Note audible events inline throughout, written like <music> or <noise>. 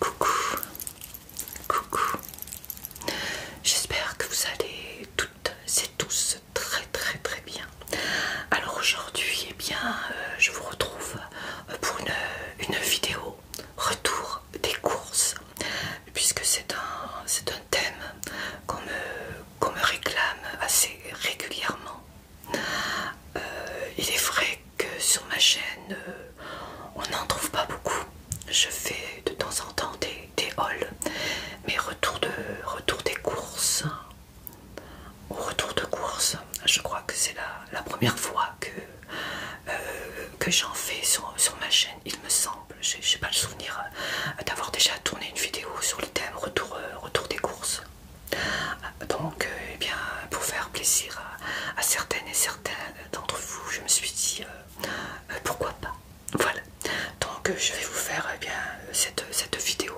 Coucou, coucou. J'espère que vous allez toutes et tous très très très bien. Alors aujourd'hui, et eh bien, euh, je vous retrouve euh, pour une, vidéo retour des courses, puisque c'est un, un thème qu'on me, réclame assez régulièrement. Euh, il est vrai que sur ma chaîne euh, on n'en trouve pas beaucoup. Je fais de temps en temps des, hauls, mais retour, de, retour des courses, au retour de courses, je crois que c'est la, première fois que, euh, que j'en fais sur, ma chaîne, il me semble. Je n'ai pas le souvenir euh, d'avoir déjà tourné une vidéo sur le thème retour, des courses. Donc, eh bien, pour faire plaisir à, certaines et certaines d'entre vous, je me suis dit euh, euh, pourquoi pas. Voilà. Donc euh, je vais vous faire eh bien cette, vidéo.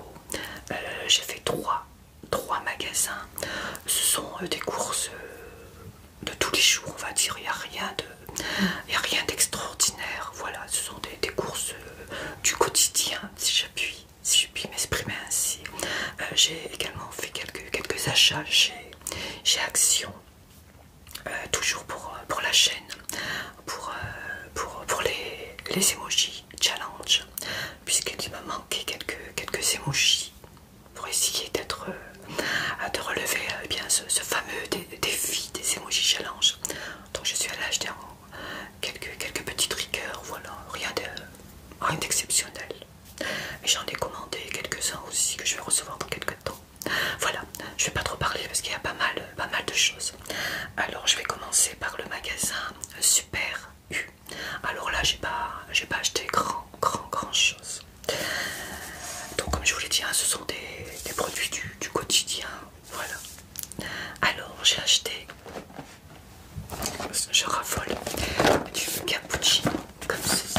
J'ai fait trois, trois magasins. Ce sont des courses de tous les jours, on va dire. Il n'y a rien de, y a rien d'extraordinaire. Voilà, ce sont des, courses du quotidien, si je puis, si m'exprimer ainsi. J'ai également fait quelques, quelques achats chez j'ai Action, euh, toujours euh, pour, la chaîne, pour, euh, pour, pour les, les emojis challenge, puisqu'il m'a manqué quelques, quelques emojis pour essayer d'être de relever ce, fameux défi des emojis challenge. Donc je suis allée l'âge quelques, petits triggers, voilà, rien d'exceptionnel. Et j'en ai commandé quelques-uns aussi que je vais recevoir dans quelques temps. Voilà, je vais pas trop parler parce qu'il y a pas mal, pas mal de choses. Alors je vais commencer par le magasin Super U. Alors là j'ai pas, pas acheté grand, grand, grand chose. Donc comme je vous l'ai dit, hein, ce sont des, produits du, quotidien. Voilà. Alors j'ai acheté, je raffole du cappuccino comme ceci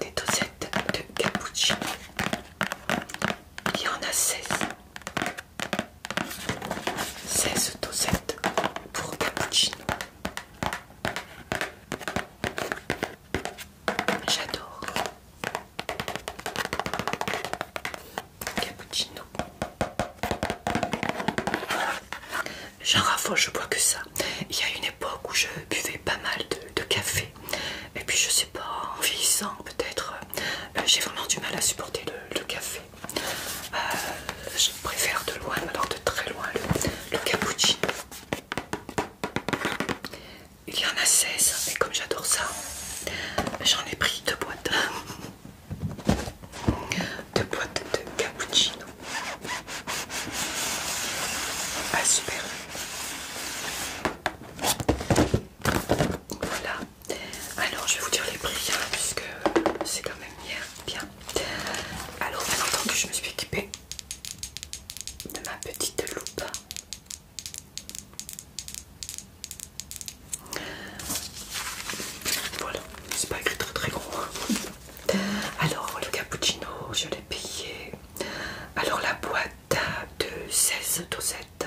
des dosettes de cappuccino. Il y en a 16. 16 dosettes pour cappuccino. J'adore. Cappuccino. J'en raffole, je bois que ça. Il y a une époque où je buvais pas mal de, café. Et puis je sais pas, en vieillissant peut-être, euh, j'ai vraiment du mal à supporter le, café. Euh, je préfère de loin, alors de très loin, le, le cappuccino. Il y en a 16 et comme j'adore ça, j'en ai pris deux boîtes. <laughs> de boîtes de cappuccino Ah super. Voilà. Alors je vais vous dire les prix hein, puisque c'est quand même hier bien. Alors bien que je me suis équipée de ma petite loupe. Voilà, c'est pas écrit très très gros. Alors, le cappuccino, je l'ai payé. Alors, la boîte de 16 dosettes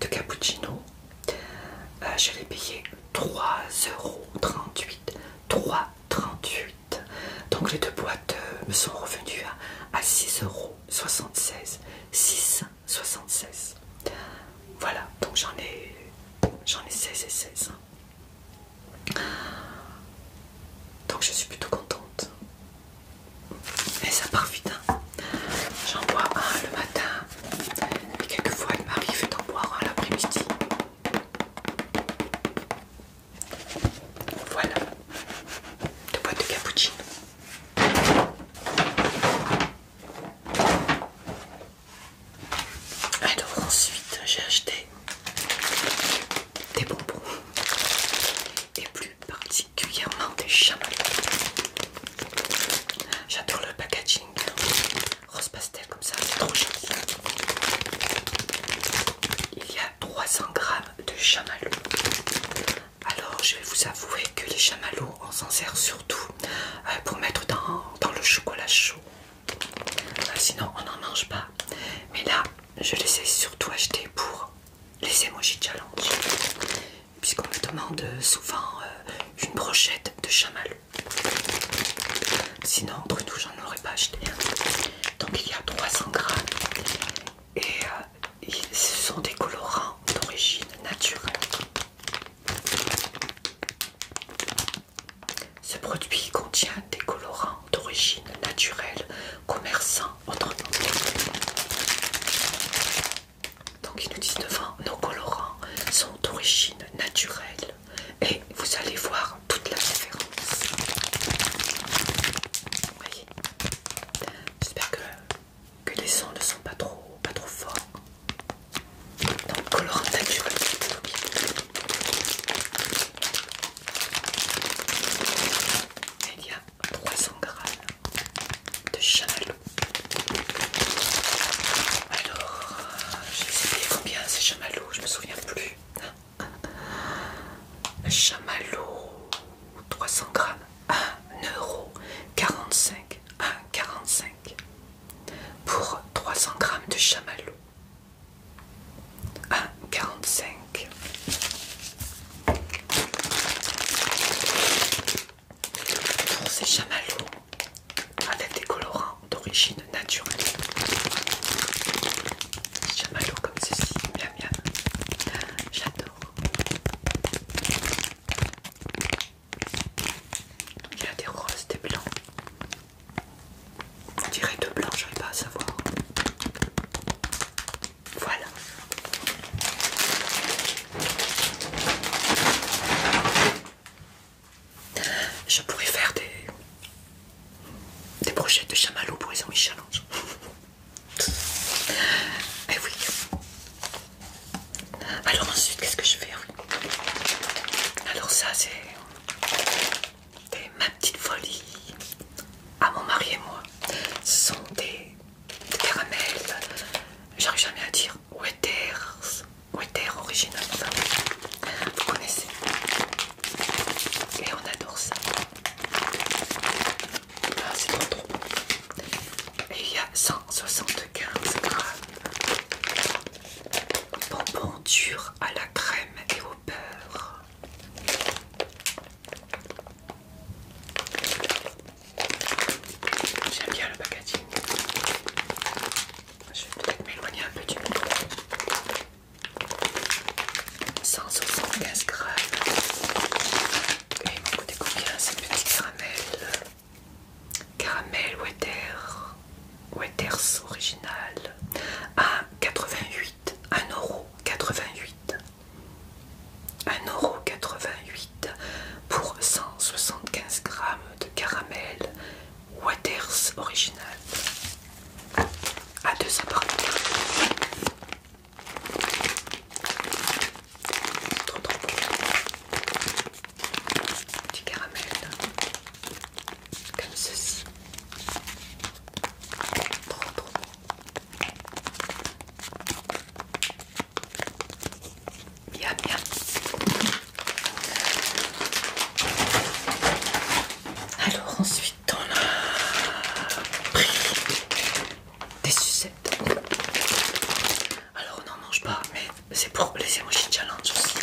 de cappuccino, euh, je l'ai payé 3,38€. 3,38€. Donc, les deux boîtes euh, me sont revenues à, 6,76€. 6,76€. Voilà, donc j'en ai, ai 16 et 16. Donc je suis plutôt contente. mais ça part vite. Hein. J'en bois un le matin. Et quelquefois il m'arrive d'en boire un l'après-midi. Voilà. Deux boîtes de cappuccino. Alors ensuite j'ai acheté des bonbons et plus particulièrement des chamallows. J'adore le packaging rose pastel comme ça, c'est trop Il y a 300 grammes de chamallows. Alors je vais vous avouer que les chamallows on s'en sert surtout euh, pour mettre dans le chocolat chaud euh, sinon, on n'en mange pas. Mais là, je les ai surtout achetés pour les emojis challenge. Puisqu'on me demande souvent euh, une brochette de chamalou Sinon, entre nous, j'en aurais pas acheté. Donc, il y a 300 grammes. Et ce euh, sont des colorants d'origine naturelle. Ce produit contient des colorants d'origine naturelle, commerçants autrement. Donc ils nous disent devant, nos colorants sont d'origine naturelle et vous allez voir toute la différence. Voyez J'espère que, que les sons ne sont pas trop, pas trop forts. Donc colorant naturel. Il y a 300 g de chamallow. Alors, je sais combien c'est chamallow, je me souviens plus. Chamallow, 300 grammes, 1,45€ pour 300 g de chamallow. 1,45 45. Pour ces chamallows, avec des colorants d'origine naturelle. Chamallows comme ceci, miam miam. J'adore. Il y a des roses, des blancs, on dirait deux blancs, j'arrive pas à savoir. Voilà. Je pourrais faire des, des projets de chamallow pour les amis challenge. <laughs> Et eh oui. Alors ensuite, qu'est-ce que je fais Alors ça, c'est et Ma Petite Folie à mon mari et moi. sont des, caramels, j'arrive jamais à dire, Wetters, Wetters original, vous connaissez. Et on adore ça. Ah, c'est trop Et il y a 175 grammes bonbons dur à la crème et au beurre. J'aime bien le packaging. Je vais peut-être m'éloigner un peu du micro. 175 grammes. Et il m'a coûté combien ces petits caramels Caramel water Waters original à 88, 1,88€. 1,88€ pour 175 grammes de caramel Waters original à deux trop, du caramel comme ceci. Trop trop bon. Bien bien. Alors ensuite on a pris des sucettes. Alors on n'en mange pas mais c'est pour les emoji challenge aussi.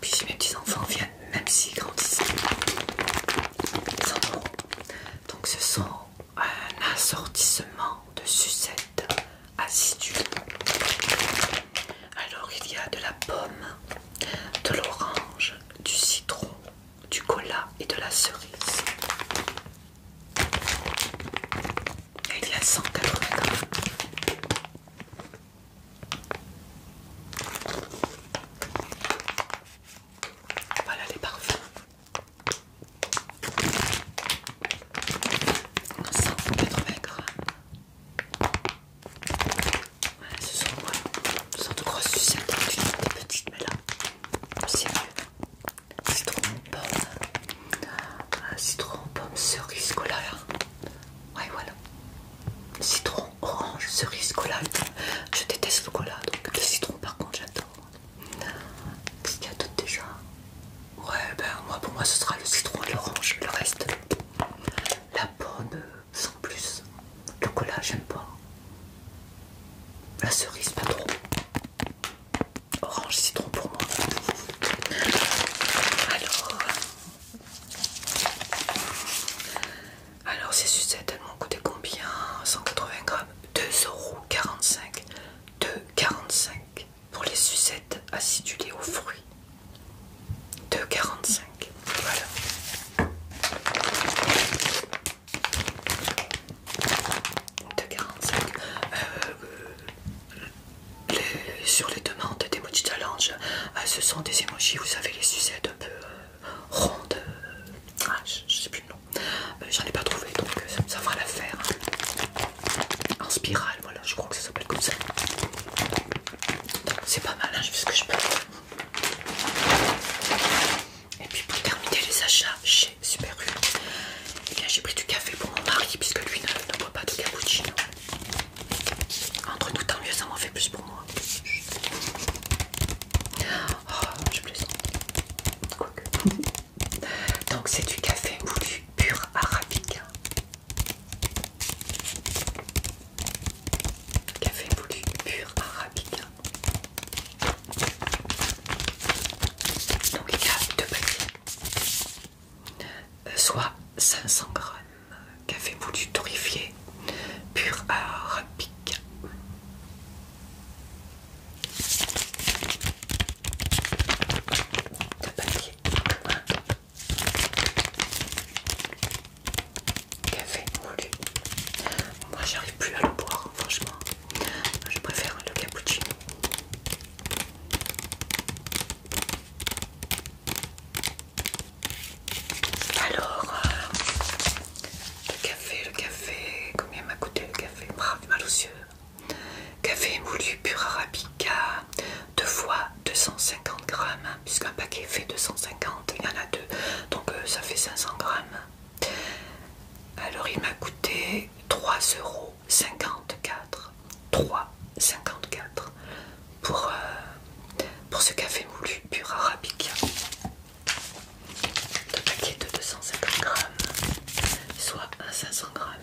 Puis si mes petits-enfants viennent, même s'ils grandissent, ils en Donc ce sont un assortissement de sucettes assidues. Alors il y a de la pomme, de l'orange, du citron, du cola et de la cerise. Et il y a 180 grammes. Voilà les parfums. On maigre voilà, ce sont, voilà, ce sont de grosses sucettes, hein, des petites, mais là, c'est mieux. Citron, pomme, Citron ah, citron, pomme, cerise, voilà. Ouais, voilà. Citron, orange, cerise, cola. Je déteste le cola, donc le citron, par contre, j'adore. Qu'est-ce qu'il y a d'autre déjà Ouais, ben moi, pour moi, ce sera le citron et l'orange. Le reste, la pomme, sans plus. Le cola, j'aime pas. La cerise, pas trop. Orange, citron pour moi. Alors, alors ces sucettes elles m'ont coûté combien 180 grammes 2,45 2,45 pour les sucettes acidulées aux fruits 2,45 voilà 2,45 euh, euh sur les demandes d'emoji challenge, euh, ce sont des emojis, vous savez, les sucettes un peu euh, rondes. Euh, ah, je, sais plus le nom. J'en ai pas trouvé, donc ça, fera l'affaire. Hein. En spirale, voilà, je crois que ça s'appelle comme ça. C'est pas mal, hein, je fais ce que je peux. Et puis pour terminer les achats chez Super U, eh j'ai pris du café pour mon mari puisque lui ne boit pas de cappuccino. Entre nous, tant mieux, ça m'en fait plus pour moi. Oh, je <laughs> Donc, c'est du café moulu pur arabica. Café moulu pur arabica. Donc, il y a deux paquets. Euh, soit 500 grammes euh, café moulu torréfié pur arabique. Café moulu. Moi j'arrive plus à le boire, franchement. Je préfère le cappuccino. Alors, euh, le café, le café, combien m'a coûté le café Bravo, mal aux Café moulu pur arabica, 2 fois 250 grammes, puisqu'un paquet fait 250, il y en a deux, donc euh, ça fait 500 grammes. Alors il m'a coûté 3,54 euros. 3,54 euh, pour, ce café moulu pur arabica 2 paquet de 250 grammes, soit 500 grammes.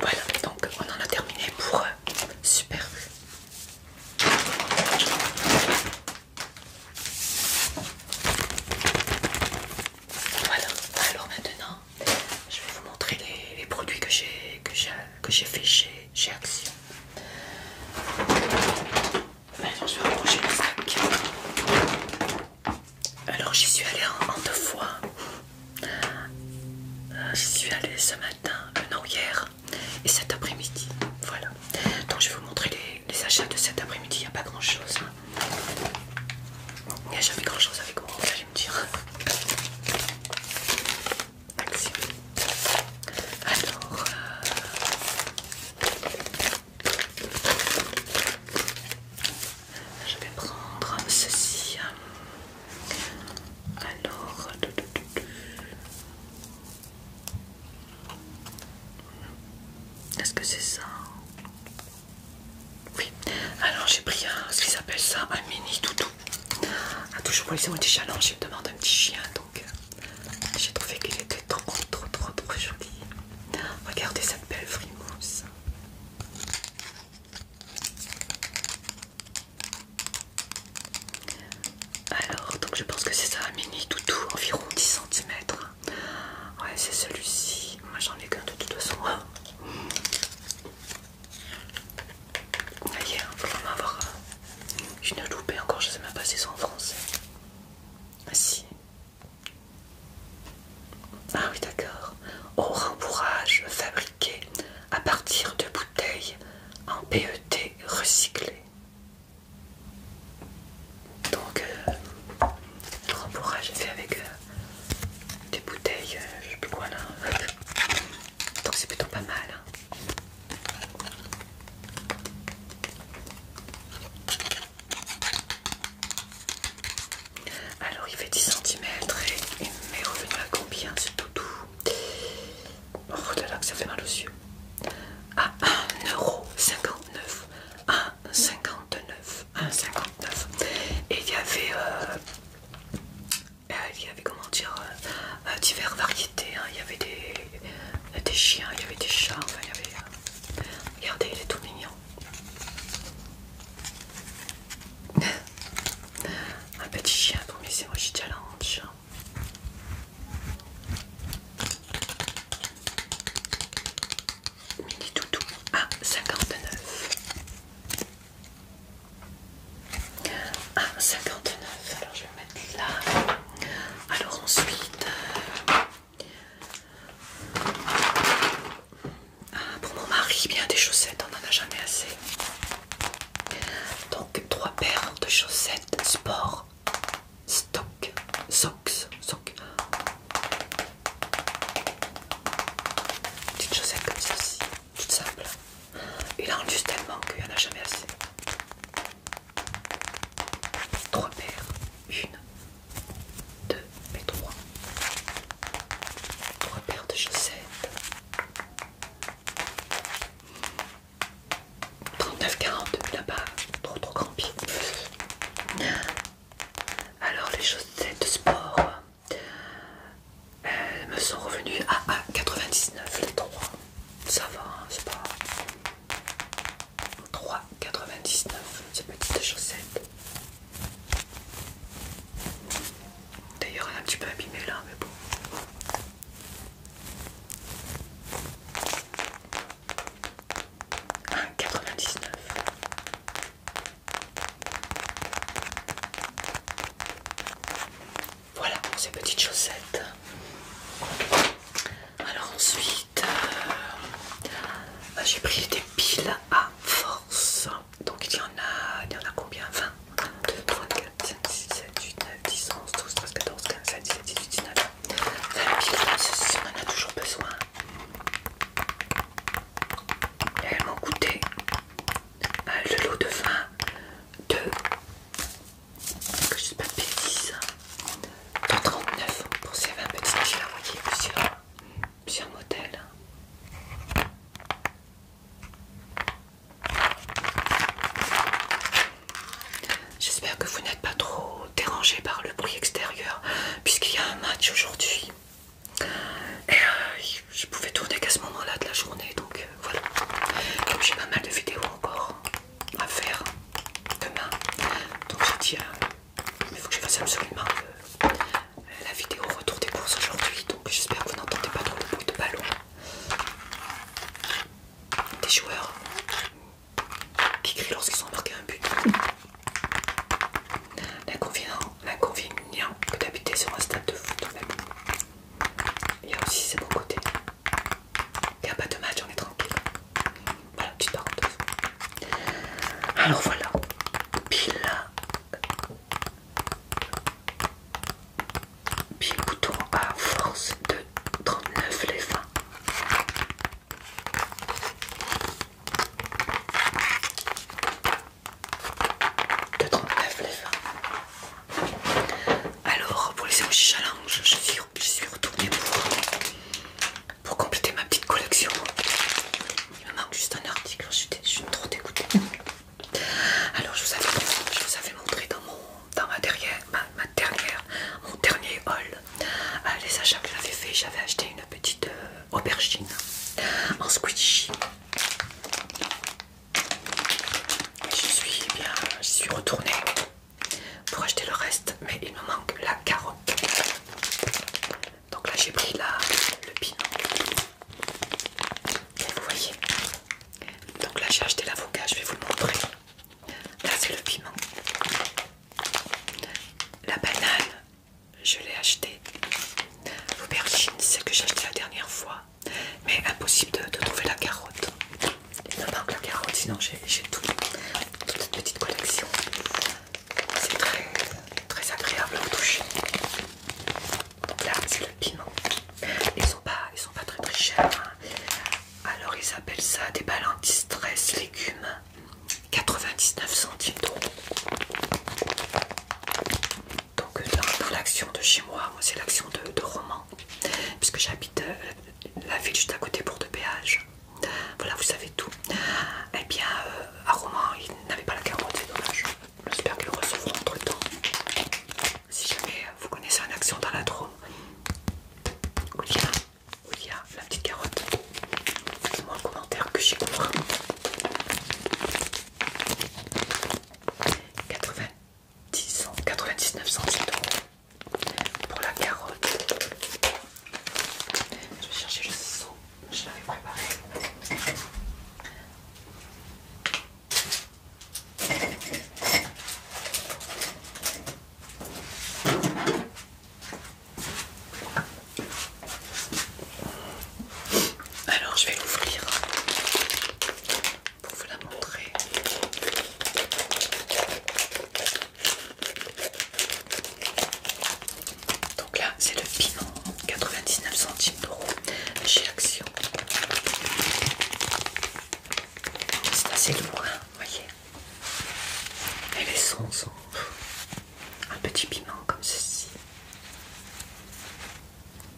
Voilà, donc on en a terminé pour euh, super. Voilà, alors maintenant, je vais vous montrer les, produits que j'ai que j'ai fait chez, Action. Maintenant, je vais approcher le sac. Alors, j'y suis allée en, deux fois. Euh, j'y suis allée ce matin, euh, non, hier, et cet après-midi. Voilà. Donc, je vais vous montrer les, achats de cet après-midi. Il n'y a pas grand-chose. Hein. Il n'y a jamais grand chose avec moi, vous allez me dire. Alors. Euh, je vais prendre ceci. Alors. Euh, Est-ce que c'est ça oui, alors j'ai pris un, ce qu'ils appellent ça, un mini toutou. A toujours pour les mon petit challenge, je me demande un petit chien, donc euh, j'ai trouvé qu'il était trop, trop, trop, trop joli. Regardez cette belle frimousse. Alors, donc je pense que c'est ça, un mini toutou, environ 10 cm. Ouais, c'est celui-ci. Moi j'en ai qu'un de toute façon. Aïe, faut vraiment avoir. Je euh, encore, je sais même pas si c'est en français. Ah si. Ah oui, d'accord. Au rembourrage fabriqué à partir de bouteilles en PET recyclées. Donc, euh, le rembourrage est fait avec euh, des bouteilles, euh, je sais plus quoi là. <laughs> Donc c'est plutôt pas mal. Hein. Alors il fait 10 cm et il m'est revenu à combien ce toutou Oh là là que ça fait mal aux yeux À 1,59€ 1,59€ 1,59€ Et il y avait euh, euh, il y avait comment dire euh, euh, divers variétés. Hein. Il y avait des, chiens, il y avait des chats, il y avait. Regardez, il est tout mignon. <laughs> Un petit chien pour mes émojis challenge. Hein, challenge. Mini toutou à ah, 59. Ah, 59. Alors je vais mettre là. Alors ensuite. Euh, ah, pour mon mari, bien des chaussettes, on n'en a jamais assez. Donc trois paires de chaussettes sport, stock, socks, socks. Petite chaussette comme ceci tout simple. Il en juste tellement qu'il n'y en a jamais assez. Trois paires. Une, deux et trois. Trois paires de chaussettes. 39,40 là-bas. Trop trop grand pied. Alors les chaussettes de sport. Elles me sont revenues à 1,99 les 3. Ça va, hein, c'est pas... 3,99 ces petites chaussettes. D'ailleurs, elle est un petit peu abîmée là, mais bon. 1,99 ah, 99. Voilà pour ces petites chaussettes. Alors ensuite, euh, bah, j'ai pris des piles à force. Donc il y en a, il y en a combien 20, 2, 3, 4, 5, 6, 7, 8, 9, 10, 11, 12, 13, 14, 15, 16, 17, 18, 19. 20 piles, force, on en a toujours besoin. Et elles m'ont coûté euh, le lot de vin de, que je sais pas de hein, pour ces 20 vous voyez, plusieurs, plusieurs J'espère que vous n'êtes pas trop dérangé par le bruit extérieur puisqu'il y a un match aujourd'hui. Et euh, je pouvais tourner qu'à ce moment-là de la journée, donc euh, voilà. Comme j'ai pas mal de vidéos encore à faire demain, donc j'ai dit, euh, il faut que je fasse absolument la vidéo retour des courses aujourd'hui, donc j'espère que vous n'entendez pas trop le bruit de ballon des joueurs qui crient lorsqu'ils ont marqué un but. L'inconvénient que d'habiter sur un stade de foot même. Il y a aussi ses bons côtés. Il n'y a pas de match, on est tranquille. Voilà, tu petite parenthèse. Alors voilà, pile. Pile bouton à force de 39 les fins 2,39 les Alors, pour les émotions challenge, je suis, je suis pour, pour compléter ma petite collection. Il me manque juste un article, je suis, trop dégoûtée. Alors, je vous avais, je vous avais montré dans, mon, dans ma, ma, dernière, mon dernier haul euh, les achats que j'avais fait. J'avais acheté une petite euh, aubergine en squishy je suis eh bien, je suis retournée pour acheter le reste, mais il me manque la carotte. Donc là j'ai pris le piment vous voyez. Donc là j'ai acheté l'avocat, je vais vous le montrer. Là c'est le piment. La banane, je l'ai acheté L'aubergine, celle que j'ai acheté la dernière fois, mais impossible de, trouver la carotte. Il me manque la carotte, sinon j'ai tout, toute cette petite collection. C'est très, agréable à toucher. là, c'est le piment. Ils sont pas, ils sont pas très très chers. Hein. Alors ils appellent ça des balles anti-stress légumes. 99 centimes d'eau donc euh, dans, l'action de chez moi, moi c'est l'action de, de Roman, puisque j'habite euh, la ville juste à côté pour de péage. Voilà, vous savez tout. Eh bien, euh, à Roman, il n'avait pas la carotte, c'est dommage. J'espère qu'ils le recevront entre temps. Si jamais vous connaissez un action dans la Drôme, où il, y a, la petite carotte, dites-moi en commentaire que j'y comprends. 90, 99 centimes pour la carotte. Je vais chercher le seau, je l'avais préparé. Alors je vais l'ouvrir pour vous la montrer. Donc là c'est le piment 99 centimes d'euros chez Action. C'est assez lourd, vous voyez. Et les sons sont un petit piment comme ceci.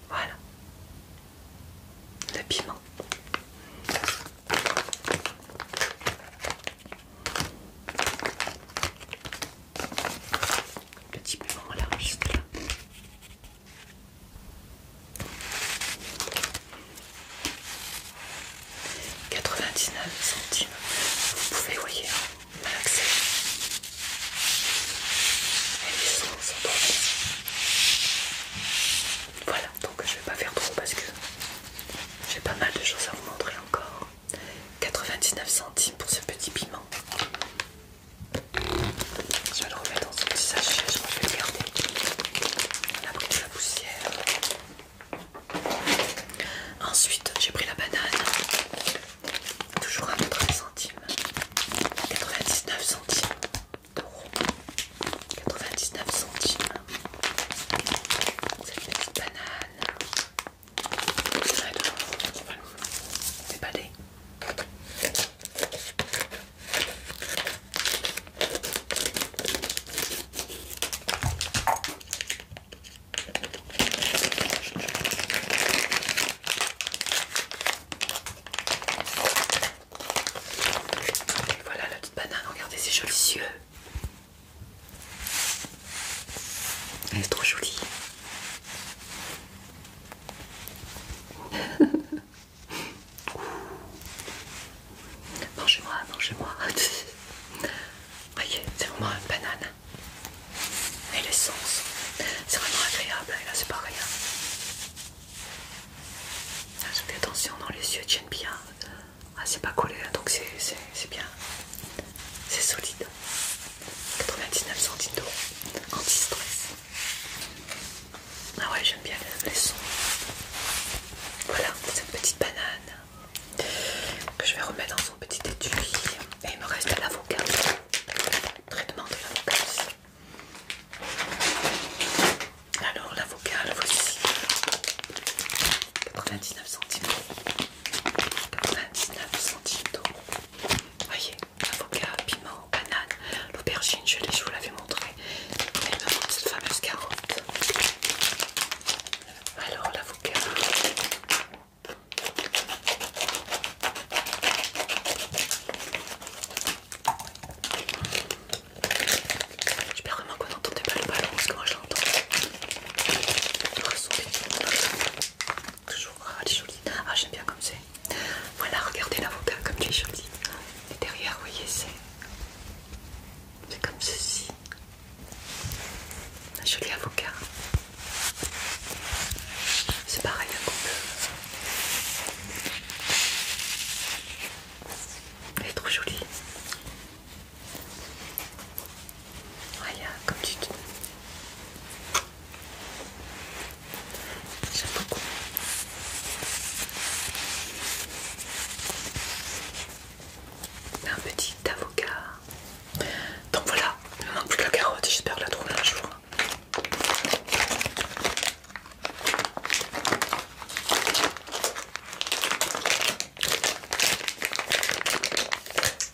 Voilà. Le piment. Le petit piment là, juste là. quatre centimes. Vous pouvez, voyez, hein. Et les sons sont trop Voilà, donc je vais pas faire trop parce que j'ai pas mal de choses à vous montrer encore. 99 centimes pour ce petit piment. Je vais le remettre dans ce petit sachet, je vais le garder. On a pris de la poussière. Ensuite, j'ai pris la banane toujours à 80 centimes, 99 centimes d'euros, 99 centimes, cette petite banane, C'est pas des voilà la petite banane, regardez ses jolis yeux. Elle est trop jolie. <laughs> Mangez-moi, mangez-moi. <laughs> Voyez, c'est vraiment une banane et l'essence. C'est vraiment agréable, et là c'est pareil. rien Je attention dans les yeux, tiennent bien. Ah, c'est pas collé, hein, donc c'est bien. C'est solide. 99 centimes d'euros. Anti-stress. Ah ouais, j'aime bien les, sons. Voilà, cette petite banane que je vais remettre dans son petit étui. Et il me reste l'avocat. Traitement de l'avocat aussi. Alors l'avocat, le voici. 99 centimes. 99 centimes Voyez, avocat, piment, banane, l'aubergine, je, je vous l'avais montré. Et maintenant cette fameuse carotte. Alors l'avocat. Je J'espère vraiment qu'on n'entendez pas le ballon parce que moi je l'entends. Toujours, ah, elle est jolie. Ah, j'aime bien comme c'est. Voilà, regardez l'avocat comme il est joli. Et derrière, vous voyez, c'est. C'est comme ceci. Un joli avocat. C'est pareil un couple. Elle est trop jolie. Regarde comme tu dis J'aime beaucoup. Un petit avocat. Donc voilà, il me manque plus la carotte, j'espère la trouver un jour.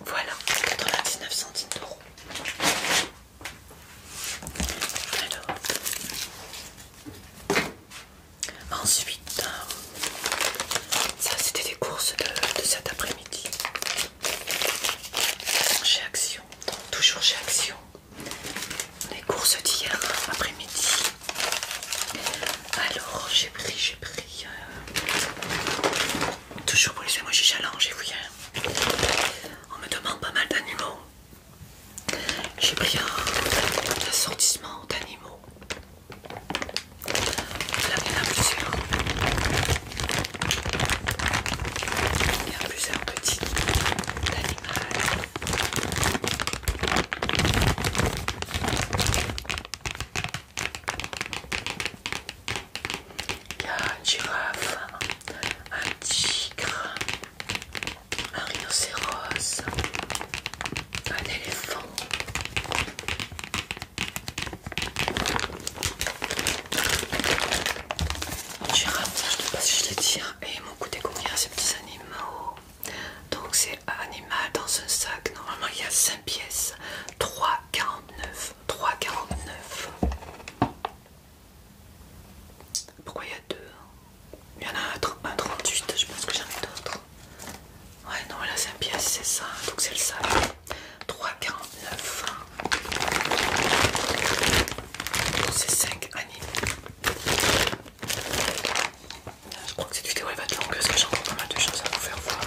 Voilà, 99 centimes d'euros. Ensuite, euh, ça c'était des courses de, cet après-midi chez Action toujours chez Action. Les courses d'hier après-midi. Alors, j'ai pris, j'ai pris. Euh, toujours pour les j'ai challenge, et vous On hein. me demande pas mal d'animaux. J'ai pris un assortissement d'animaux. Il y a plusieurs petits animaux. girafe, un tigre, un rhinocéros, un éléphant je ne sais pas si je les tire. Et mon coup combien ces petits animaux. Donc c'est animal dans un sac. Normalement il y a 5 pièces. 3,49. 3,49. Pourquoi il y a deux hein? Il y en a un, 38, je pense que j'en ai d'autres. Ouais, non, là c'est 5 pièce, c'est ça. Donc c'est le sac. 3,49. C'est 5 années Je crois que cette vidéo elle va être longue parce que j'ai encore pas mal de choses à vous faire voir.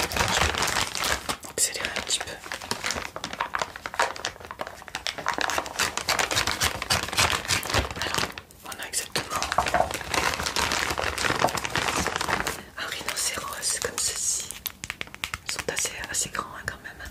Je vais accélérer un petit peu. Alors, on a exactement un rhinocéros comme ceci. Ils sont assez, grands hein, quand même. Hein.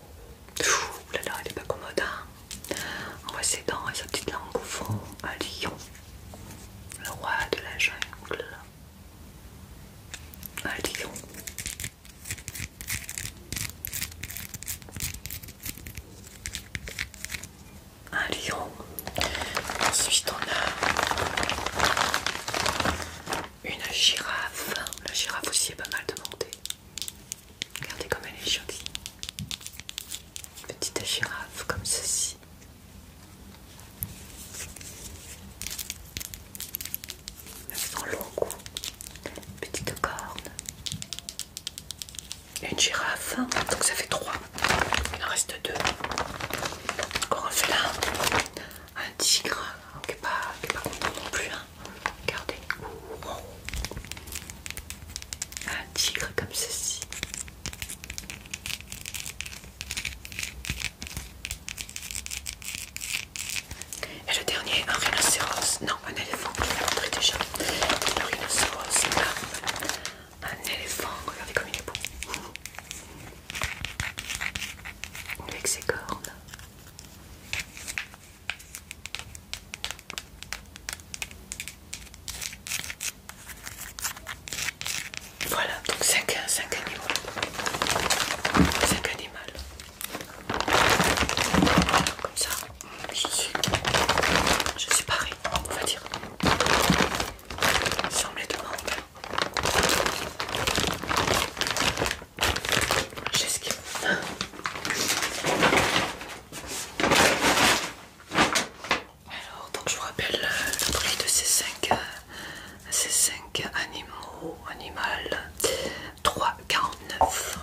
Ouh là là, elle est pas commode, hein On voit ses dents et sa petite langue au fond. Un lion. Le roi de la jungle. Un lion. Un lion. Ensuite, on a une girafe. La girafe aussi est pas mal demandée. Regardez comme elle est jolie. Petite girafe comme ceci. Elle long cou. Petite corne. Une girafe. Hein. Donc ça fait trois. Il en reste deux. Encore un félin. Un tigre. Qui n'est pas, content non plus. Hein. Regardez. Un tigre comme ceci. Et le dernier, un rhinocéros. Non, un éléphant, je l'ai montré déjà. Un rhinocéros, là. Un éléphant, regardez comme il est beau. Avec ses cornes. Voilà, donc 5, 5 animaux. 5 animaux. Comme ça, je suis, je suis parée, on va dire. Si on me les demande, j'ai ce qu'il alors, donc je vous rappelle euh, le prix de ces 5 euh, ces cinq animaux, animal 3,49.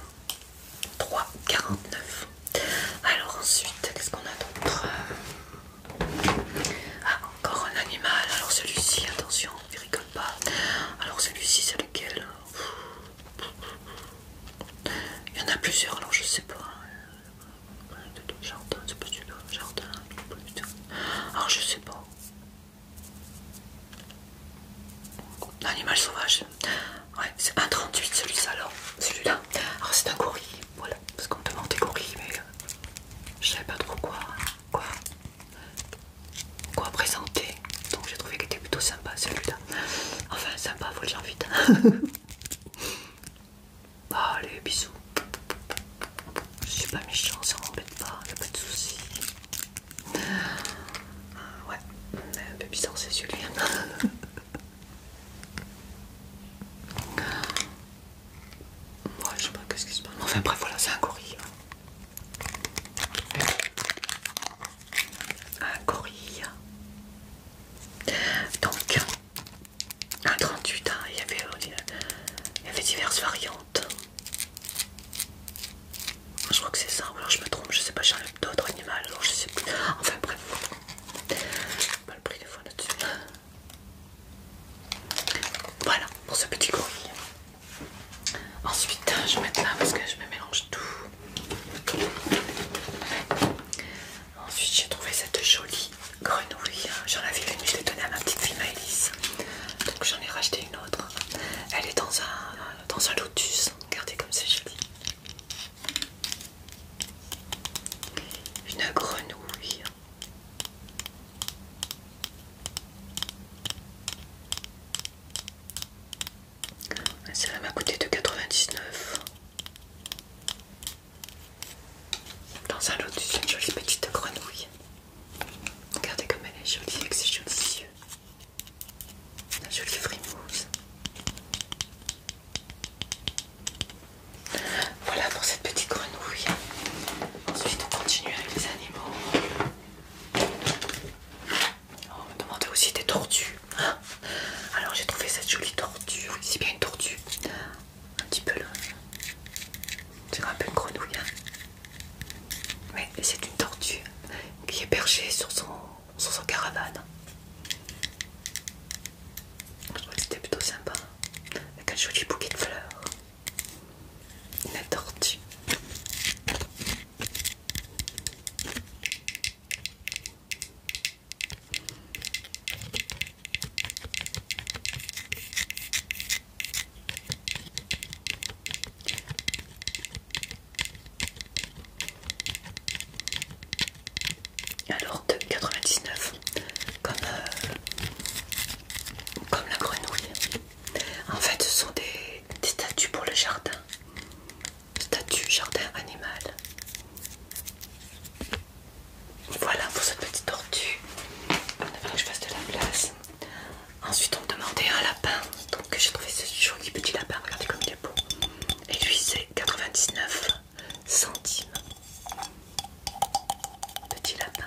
3,49. Alors ensuite, qu'est-ce qu'on a d'autre euh? Ah, encore un animal. Alors celui-ci, attention, ne rigole pas. Alors celui-ci, c'est lequel il y en a plusieurs, alors je sais pas. Jardin, c'est pas celui-là. Jardin, Alors je sais pas. Animal sauvage. Ouais, c'est 1,38 celui-là. Alors, celui-là. Alors c'est un gorille. Voilà, parce qu'on me demande des mais euh, je savais pas trop quoi, quoi présenter. Donc j'ai trouvé qu'il était plutôt sympa celui-là. Enfin, sympa, faut le dire vite. <laughs> Ah, allez, bisous. Je suis pas méchant, ça m'embête pas, y'a pas de soucis. ouais, un peu bizarre c'est celui <laughs> Ouais, je sais pas qu'est-ce qui se passe. Enfin bref, voilà, c'est un gorille. Hein un gorille. Donc, un 38, il, y avait, diverses variantes. Je crois que c'est ça, ou alors je me trompe, je sais pas, j'ai d'autres animaux, je sais plus. Enfin bref, pas le prix des fois là-dessus. Voilà pour ce petit gorille. Ensuite, je vais mettre là parce que je me mélange tout. Ensuite, j'ai trouvé cette jolie grenouille. J'en avais une, je l'ai donnée à ma petite fille Maëlys. Donc, j'en ai racheté une autre. Elle est dans un, dans un lotus. Regardez comme c'est joli. Une grenouille. Celle-là m'a coûté 2,99. Dans un lot, de une jolie petite grenouille. Regardez comme elle est jolie avec ses jolis yeux. La jolie frimousse. Voilà pour cette petite grenouille. Ensuite, on continue avec les animaux. On me demandait aussi des tortues. Hein. Alors j'ai trouvé cette jolie tortue. c'est bien une tortue. Un petit peu là. C'est un peu une grenouille. Hein. Mais c'est une tortue qui est perchée sur son, sur son caravane. Je trouvais que c'était plutôt sympa. Avec un joli bouquet de fleurs. Une tortue. Alors de 99 comme, euh, comme la grenouille. En fait ce sont des, des statues pour le jardin statue jardin animal. Voilà pour cette petite tortue. a que je fasse de la place. Ensuite, on me demandait un lapin. Donc, j'ai trouvé ce joli petit lapin. Regardez comme il est beau. Et lui, c'est 99 centimes. Petit lapin.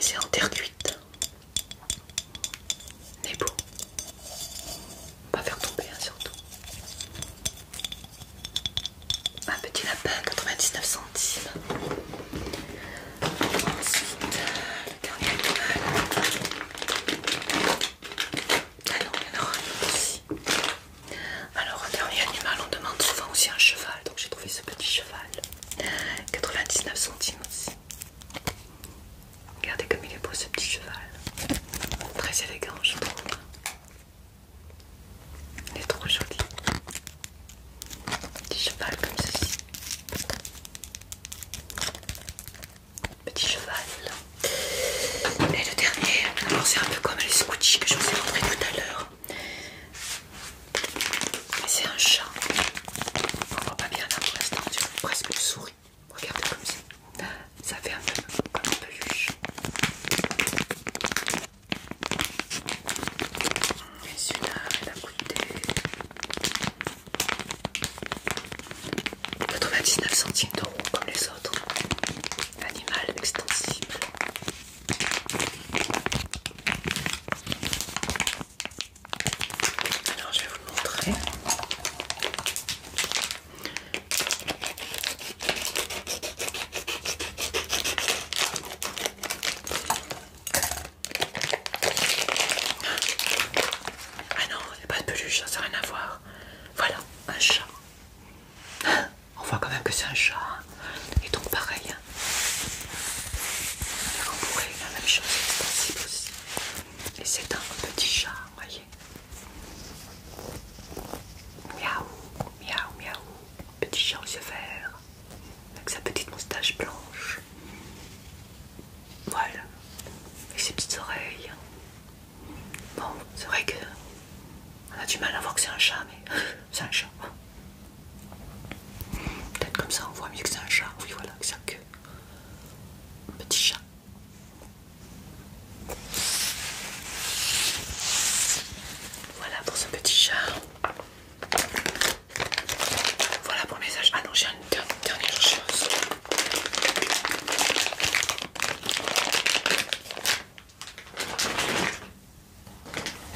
C'est en terre cuite. Mais beau. Pas faire tomber hein, surtout. Un petit lapin, 99 centimes. Ensuite, le dernier animal. Ah Alors, un dernier animal, on demande souvent aussi un cheval, donc j'ai trouvé ce petit cheval. 99 centimes aussi. Regardez comme il est beau ce petit cheval. Très élégant, je trouve. Il est trop joli. Petit cheval comme ceci. Petit cheval. Et le dernier, alors c'est un peu comme les scoochies que je vous ai montré tout à l'heure. C'est un chat. On voit pas bien là pour l'instant, tu presque une souris. Regardez comme ça. Ça fait un peu comme une peluche. Et celui-là, il a coûté 99 centimes d'euros comme les autres. Animal extensible. Alors je vais vous le montrer. Ah non, il n'y a pas de peluche, ça n'a rien à voir. Voilà, un chat. On voit quand même que c'est un chat. Et donc pareil. Hein. on pourrait la même chose extensible aussi. Et c'est un petit chat, vous voyez. Miaou, miaou, miaou. Petit chat aux yeux verts. Avec sa petite moustache blanche. Voilà. Et ses petites oreilles. Bon, c'est vrai que on a du mal à voir que c'est un chat, mais <laughs> c'est un chat. Peut-être comme ça on voit mieux que c'est un chat. Oui, voilà, c'est un queue. petit chat. Voilà pour ce petit chat. Voilà pour le message. Ah non, j'ai une dernière chose.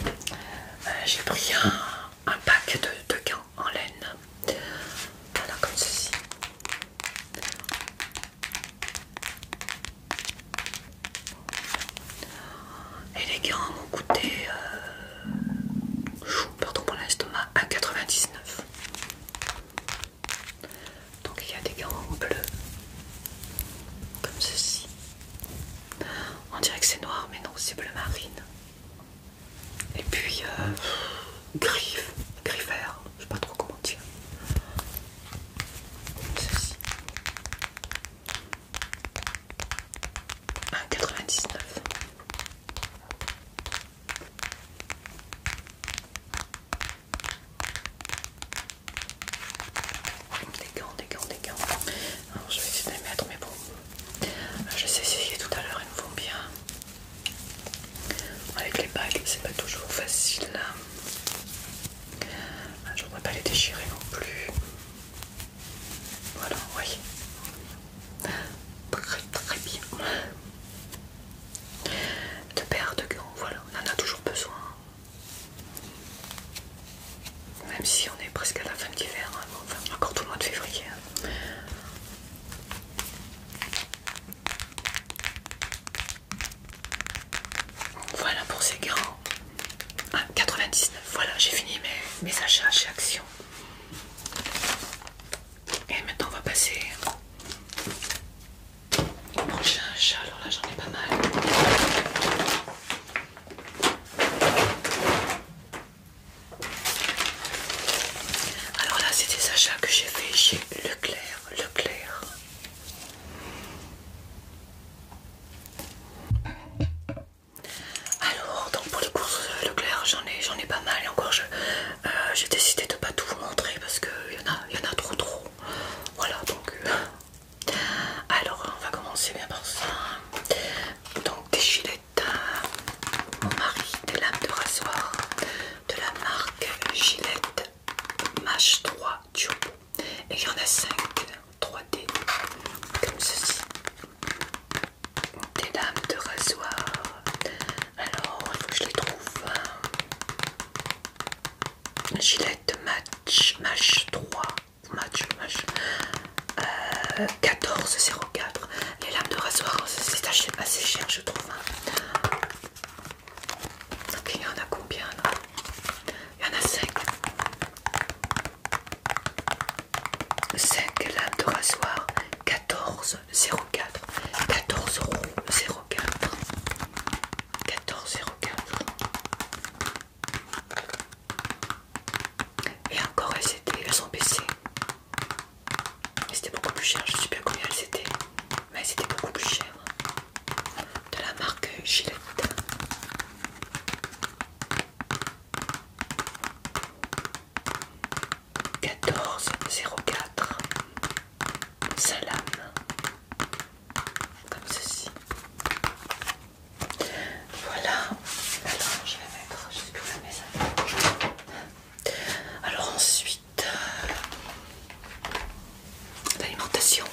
Euh, j'ai pris un, pack de, gants en laine. Voilà, comme ceci. Et les gants m'ont coûté, euh, pardon pour l'estomac, 99. Donc il y a des gants bleus, comme ceci. On dirait que c'est noir, mais non, c'est bleu marine. Et puis euh, gris, vert, je sais pas trop comment dire. Ceci. 1,99. Des gants, des gants, des gants je vais essayer de les mettre, mais bon, ah, je sais essayer tout à l'heure, ils me vont bien. Avec les bagues, c'est pas toujours facile. Ah, je ne voudrais pas les déchirer non plus. Voilà, oui. Très très bien. De paires de gants, voilà, on en a toujours besoin. Même si on est presque à la fin d'hiver, hein, encore tout le mois de février. Hein. Voilà pour ces grands. 99, ah, voilà, j'ai fini mes, mes achats chez Action. Et maintenant, on va passer au prochain achat. Alors là, j'en ai pas mal. Alors là, c'est des achats que j'ai fait chez Leclerc. Leclerc. Alors, donc pour les courses euh, Leclerc, j'en ai, j'en ai pas mal et encore euh, j'ai décidé de pas tout vous montrer parce qu'il y en a, il y en a trop trop. Voilà, donc euh, alors, on va commencer bien par ça. Donc, des gilettes, euh, mon mari, des lames de rasoir de la marque Gillette Match 3 Et il y en a 5 3D, comme ceci. Des lames de rasoir. Alors, je les trouve. Gillette Match, Match 3 match, match. 14,04. Euh, Les lames de rasoir, euh, c'est assez cher, je trouve. Hein. il y en a combien là Il y en a 5. 5 lames de rasoir, 14,04. 14,04. 14,04. Et encore elles étaient, elles sont baissées. c'était beaucoup plus cher, je sais bien combien elles étaient, mais elles étaient beaucoup plus chères. De la marque Gillette. 1404 Salam comme ceci voilà, alors je vais mettre jusque la maison. Alors ensuite, euh, l'alimentation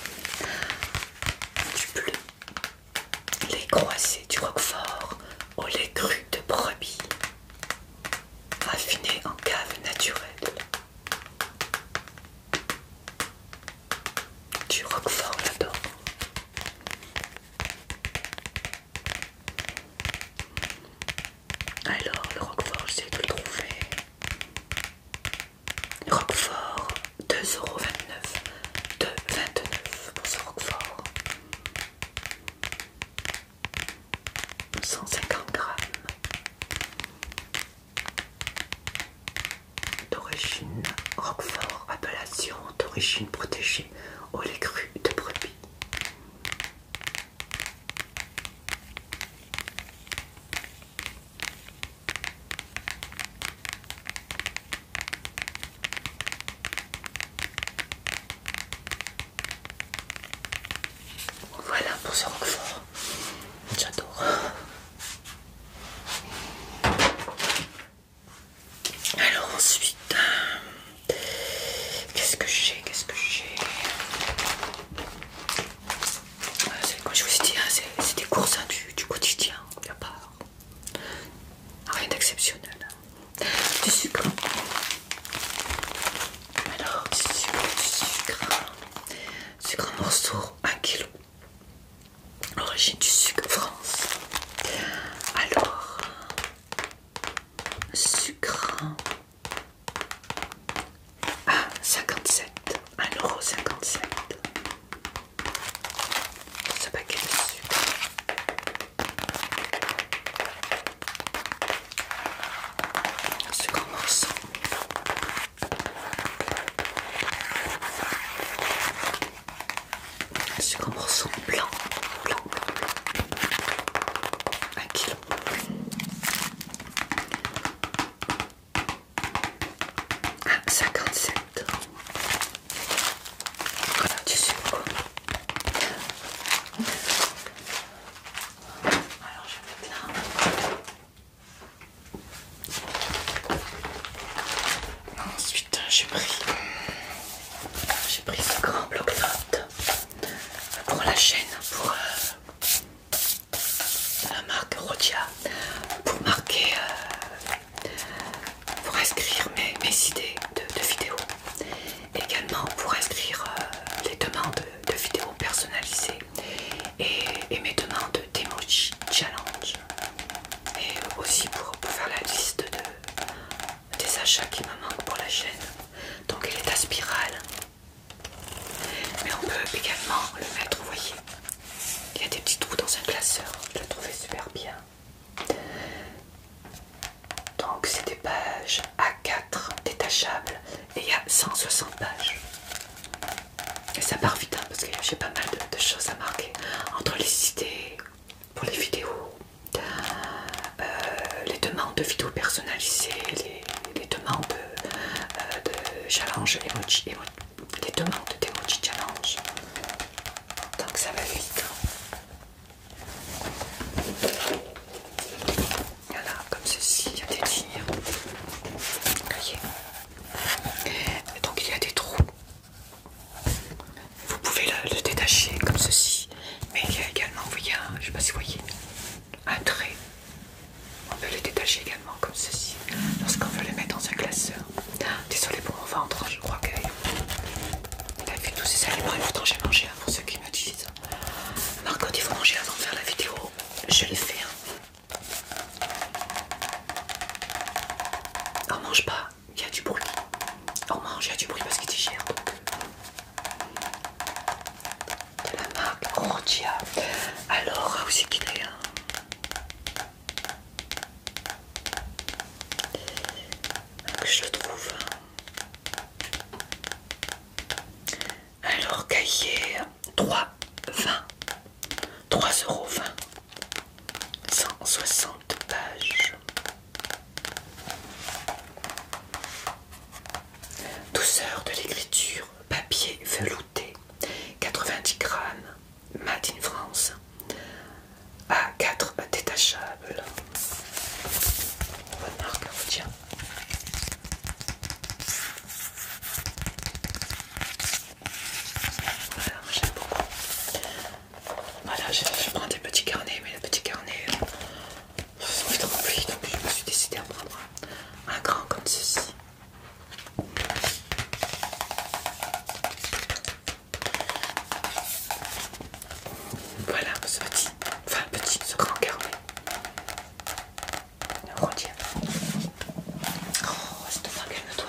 du bleu, les croisés du roquefort au lait cru de brebis, raffiné en cave naturelle. Du roquefort là-dedans. Alors, le Roquefort, j'ai de le trouver. Roquefort, 2,29€. 2,29€ pour ce Roquefort. 150 grammes d'origine Roquefort, appellation d'origine protégée au lait cru de brebis. Voilà pour ce roquefort, j'adore. Alors ensuite, euh, qu'est-ce que j'ai Qu'est-ce que j'ai ah, C'est quoi, je vous ai dit, hein, c'est des courses hein, du, quotidien, il n'y a pas rien d'exceptionnel. Hein. Du sucre. Alors, du sucre, du sucre. Sucre en morceaux, 1 kg. Origine du sucre France. Alors, sucre. à 57. 1,57€. Ce paquet de sucre. Sucre en morceaux. C'est comme morceaux blanc, blanc, 1 kg. 57. Alors je vais mettre là. Putain, j'ai pris. ce grand bloc note pour la chaîne, pour euh, la marque Rodia, pour marquer, euh, pour inscrire mes, idées de, vidéos. Également pour inscrire euh, les demandes de vidéos personnalisées et, et mes demandes d'emoji challenge et aussi pour, faire la liste des achats qui me manquent pour la chaîne. Donc elle est à spirale. Mais on peut également le mettre, vous voyez. Il y a des petits trous dans un classeur. Je l'ai trouvé super bien. Donc c'est des pages A4 détachables et il y a 160 pages. Et ça part vite hein, parce que j'ai pas mal de, choses à marquer entre les cités pour les vidéos, euh, les demandes de vidéos personnalisées, les, demandes euh, de challenge, emoji, les demandes d'emoji challenge. Donc ça va vite. Voilà, comme ceci, il y a des lignes. Donc il y a des trous vous pouvez le, détacher comme ceci, mais il y a également, vous voyez, je sais pas si vous voyez, un trait. On peut le détacher également comme ceci lorsqu'on veut le mettre dans un classeur. Désolé pour mon ventre, je crois qu'il a vu tous ces aliments et pourtant j'ai mangé pour ceux qui me disent. Marco, il faut manger avant de faire la vidéo, je le fais. Hein. On mange pas il y a du bruit. On mange, il y a du bruit parce qu'il digère. De la marque Rodia. Alors, où c'est qu'il est hein? que je le trouve. Alors, cahier 3,20 3,20€. 160 pages. Douceur de l'écriture, papier velouté, 90 grammes, Made France, à 4 détachables. Bonne marque, hein, Voilà, j'aime beaucoup. Voilà, je, prends des petits carnets, mais les petits carnets sont euh, trop donc je me suis décidée à prendre un, grand comme ceci. Voilà ce petit, enfin petit, ce grand carnet. le Oh, calme-toi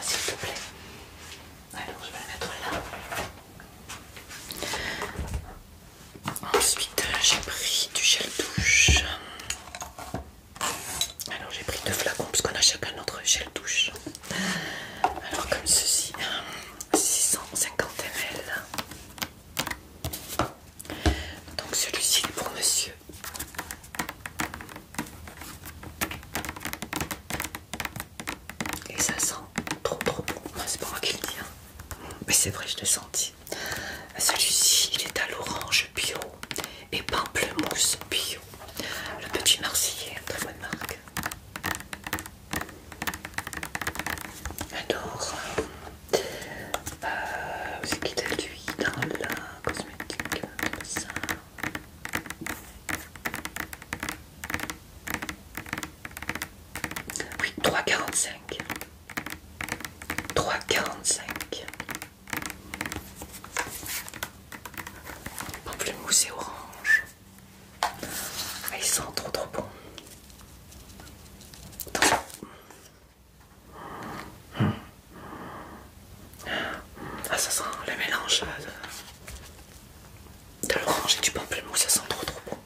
s'il te plaît. Alors je vais le mettre là. Ensuite euh, j'ai pris du gel douche. Alors j'ai pris deux flacons parce qu'on a chacun notre gel douche. Alors comme ceci, 650 hein, ml. Donc celui-ci est pour monsieur. Et ça sent trop trop bon. C'est pas moi qui le dis. Hein. Mais c'est vrai, je l'ai senti. Celui-ci, il est à l'orange bio et pamplemousse bio. Le petit marseillais, très bonne marque. Alors, ce qu'il a lui dans la cosmétique, ça. Oui, 3,45. 3,45. mousse et orange. Ah, ils sont trop trop bons. Ah, ça sent le mélange. Euh, de l'orange et du pamplemousse, ça sent trop trop bon.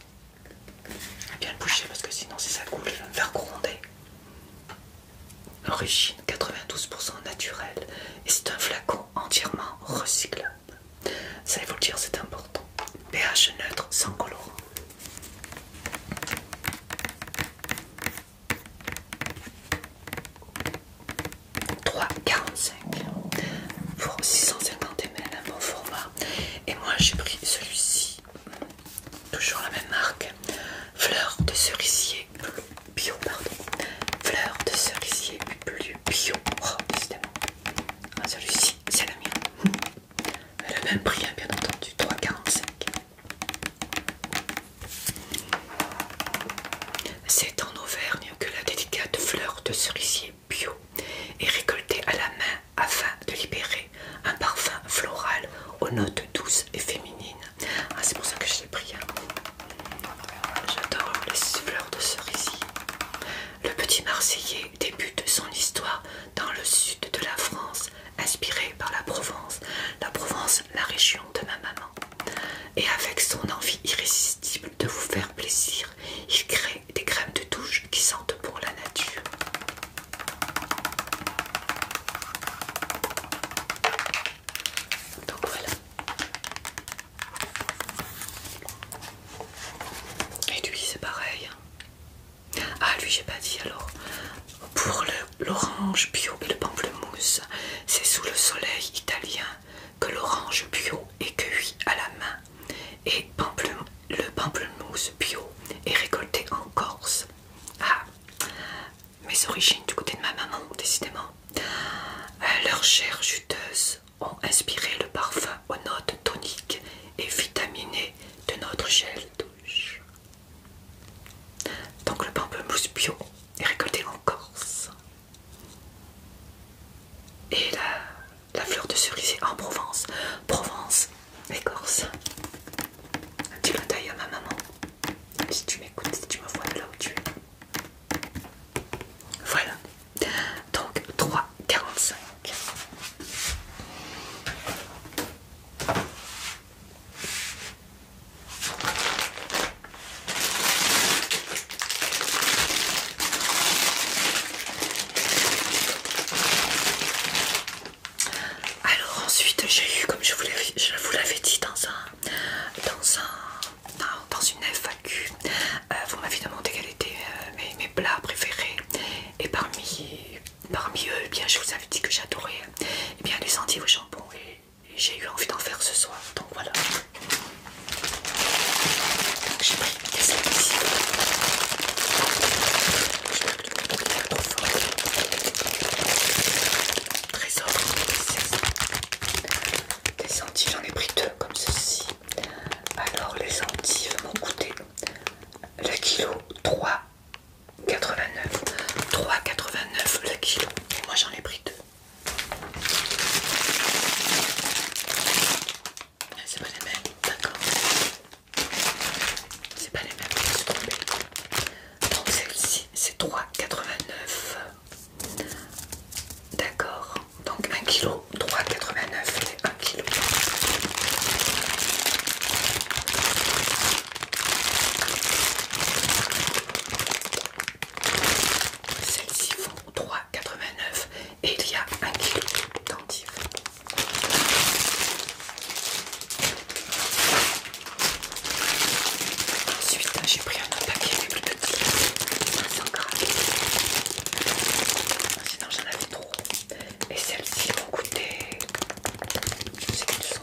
bien le boucher parce que sinon si ça coule, je vais me faire gronder. Origine 92% naturelle et c'est un flacon entièrement recyclable. Ça il faut le dire c'est important. pH neutre sans colorant. 3,45 pour 650 ml, un bon format. Et moi j'ai pris celui-ci, toujours la même marque, fleur de cerisier bio, pardon, fleur de cerisier plus bio. Oh, décidément, ah, celui-ci c'est la mienne. <laughs> Le même prix, hein, bien entendu, 3,45. C'est en Auvergne que la délicate fleur de cerisier bio est récoltée à la main afin de libérer un parfum floral aux notes douces et féminines. Ah, c'est pour ça que je l'ai pris. Hein. J'adore les fleurs de cerisier. Le petit Marseillais débute son histoire dans le sud de la France, inspiré par la Provence. La Provence, la région de ma maman et avec son envie irrésistible de vous faire plaisir, il crée des crèmes de douche qui sentent pour la nature. Donc voilà. Et lui c'est pareil. Ah lui j'ai pas dit alors. Pour l'orange bio et le pamplemousse, c'est sous le soleil italien que l'orange bio est cueilli à la main et le pamplemousse bio est récolté en Corse. Ah, mes origines du côté de ma maman, décidément. Euh, leurs chairs juteuses ont inspiré le parfum aux notes toniques et vitaminées de notre gel douche. Donc le pamplemousse bio est récolté en Corse. Et la, fleur de cerise en Provence. Provence, Écorce. tu la taille à ma maman. Si tu m'écoutes, si tu me vois de là où tu es. Voilà. Donc 3,45. Alors ensuite j'ai eu comme je vous l'avais dit dans un dans un dans, une FAQ euh, vous m'avez demandé quels était euh, mes, plats préférés et parmi eux eh bien je vous avais dit que j'adorais eh bien les sentiers au jambon et j'ai eu envie d'en faire ce soir donc voilà j'ai pris des Je Trésor, des centives, j'en ai pris deux comme ceci. Alors les centives m'ont coûté le kilo 3,89. 3,89 le kilo. Et moi j'en ai pris deux c'est pas les mêmes, d'accord. C'est pas les mêmes, je suis Donc celle-ci, c'est 3,89. D'accord. Donc 1 kg, 3,89 et 1 kg. celle ci font 3,89 et il y a un kilo d'endives. Ensuite, j'ai pris un autre paquet plus petit, 500 ah, grammes. Ah, sinon, j'en avais trop. Et celles-ci vont goûter, Je sais qu'elles sont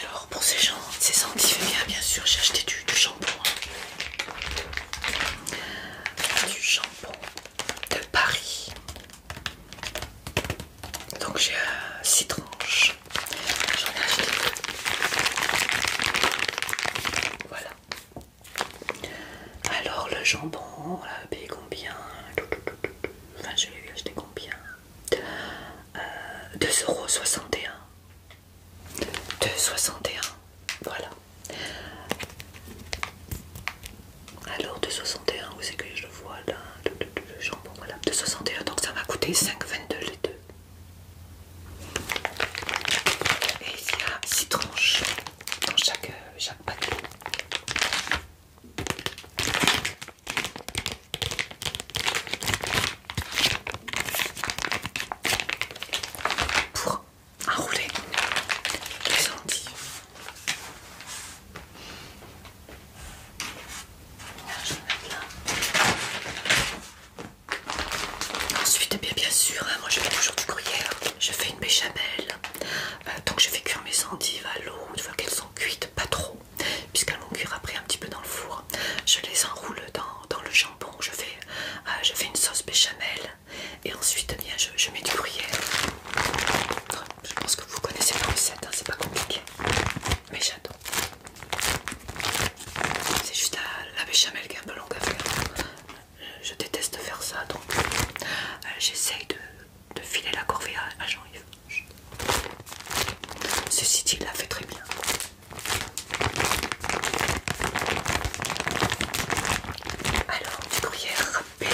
Alors pour ces gens, ces qui fait bien sûr, j'ai acheté du, shampoing. Du shampoing hein. ah, de Paris. Donc j'ai 6 euh, tranches. J'en ai acheté Voilà. Alors le jambon, l'a payé combien Enfin je l'ai acheté combien euh, 2,61€. 2,61, voilà. Alors 2,61, où c'est que je le vois là le, 2,61, donc ça m'a coûté 5,22 les deux. Et il y a 6 tranches dans chaque, euh, pour enrouler les lentilles. je vais mettre là. Ensuite, eh bien, bien sûr, hein, moi je fais toujours du courrier. Je fais une béchamel euh, donc je fais cuire mes endives à l'eau, une fois qu'elles sont cuites, pas trop, puisqu'elles vont cuire après un petit peu dans le four. Je les enroule dans, le jambon, je fais, euh, je fais une sauce béchamel et ensuite eh je, mets du gruyère. Je pense que vous connaissez la recette, hein, c'est pas compliqué, mais j'adore. C'est juste la béchamel qui est un peu longue à faire je déteste faire ça donc euh, j'essaye de, filer la corvée à, Jean-Yves. Ceci dit, il la fait très bien. Alors, du gruyère râpé,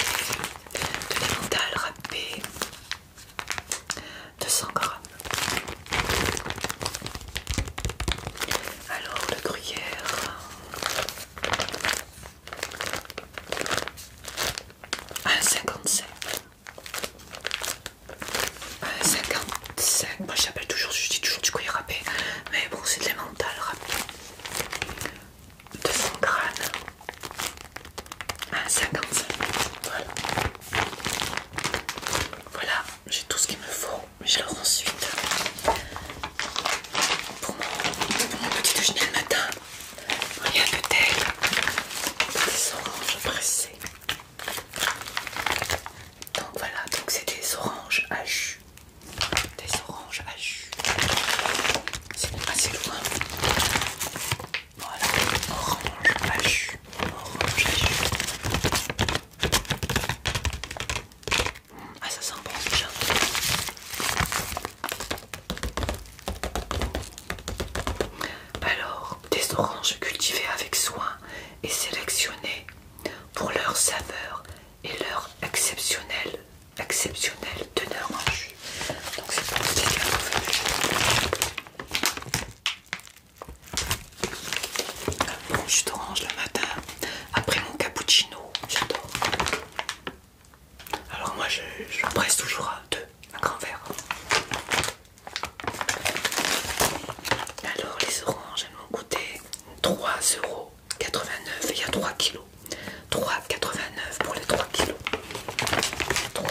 de l'emmental râpé, 200 grammes. Alors, le gruyère. 1,57. 1,55. Moi j'appelle toujours, je dis toujours du il râpé. Mais bon, c'est de l'emmental râpé. son crâne 1,55. Voilà. Voilà, j'ai tout ce qu'il me faut. Mais je le ensuite. Pour mon, petit déjeuner le matin. Il y a peut-être des oranges pressées. Donc voilà, donc c'est des oranges à jus. Des oranges à jus. C'est assez loin. Voilà, orange à jus. Orange à jus. Ah ça sent bon déjà. Alors, des oranges cultivées avec soin et sélectionnées pour leur saveur et leur exceptionnelle, exceptionnelle teneur en jus. Donc c'est pour bon jus d'orange le matin après mon cappuccino, j'adore. Alors moi je, presse toujours à 2, un grand verre. Alors les oranges, elles m'ont coûté 3,89€ et il y a 3 kilos. 3,89 pour les 3 kilos. 3,89 pour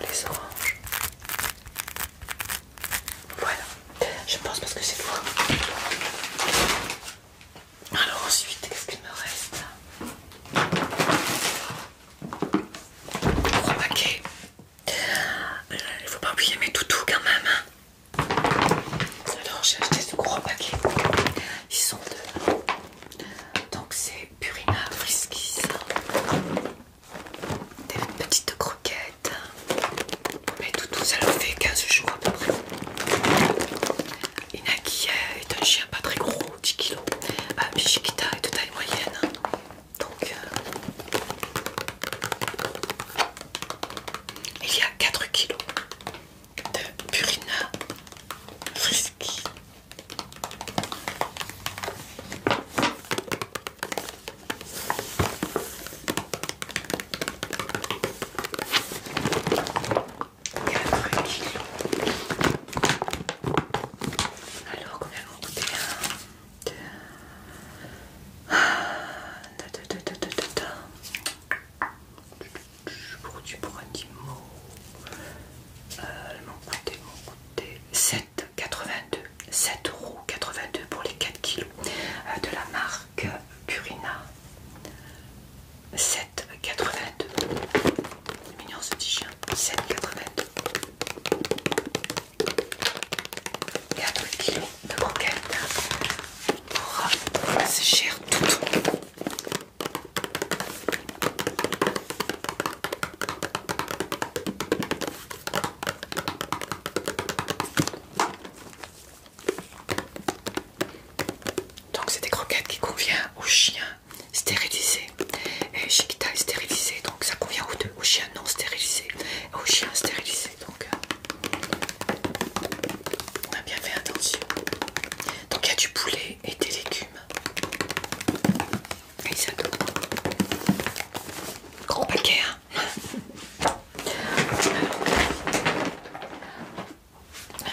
les oranges. Voilà, je pense parce que c'est faux alors ensuite, qu'est-ce qu'il me reste Gros paquet. Euh, il ne faut pas oublier mes toutous quand même. Hein. Alors j'ai acheté ce gros paquet. Ils sont deux. Donc c'est Purina Friskies. Des petites croquettes. Mais tout, ça fait 15 jours à peu près. Inaki euh, est un chien pas très gros, 10 kg. Ah, Bishikita est de taille moyenne. Donc, euh, il y a 4 kg de Purina Frisky. 4 kilos. Alors, combien vont coûter 1, 2, Pour 7,82 euh, pour les 4 kilos euh, de la marque que Purina 7,82. Mignon ce petit chien. 7,82. 4 kg de croquettes pour tout chers toutous. Donc c'est des croquettes qui convient aux chiens stérilisés et chiquita est stérilisé donc ça convient aux deux, aux chiens non stérilisés et aux chiens stérilisés donc euh, on a bien fait attention. Donc il y a du poulet et des légumes. Et Gros paquet hein.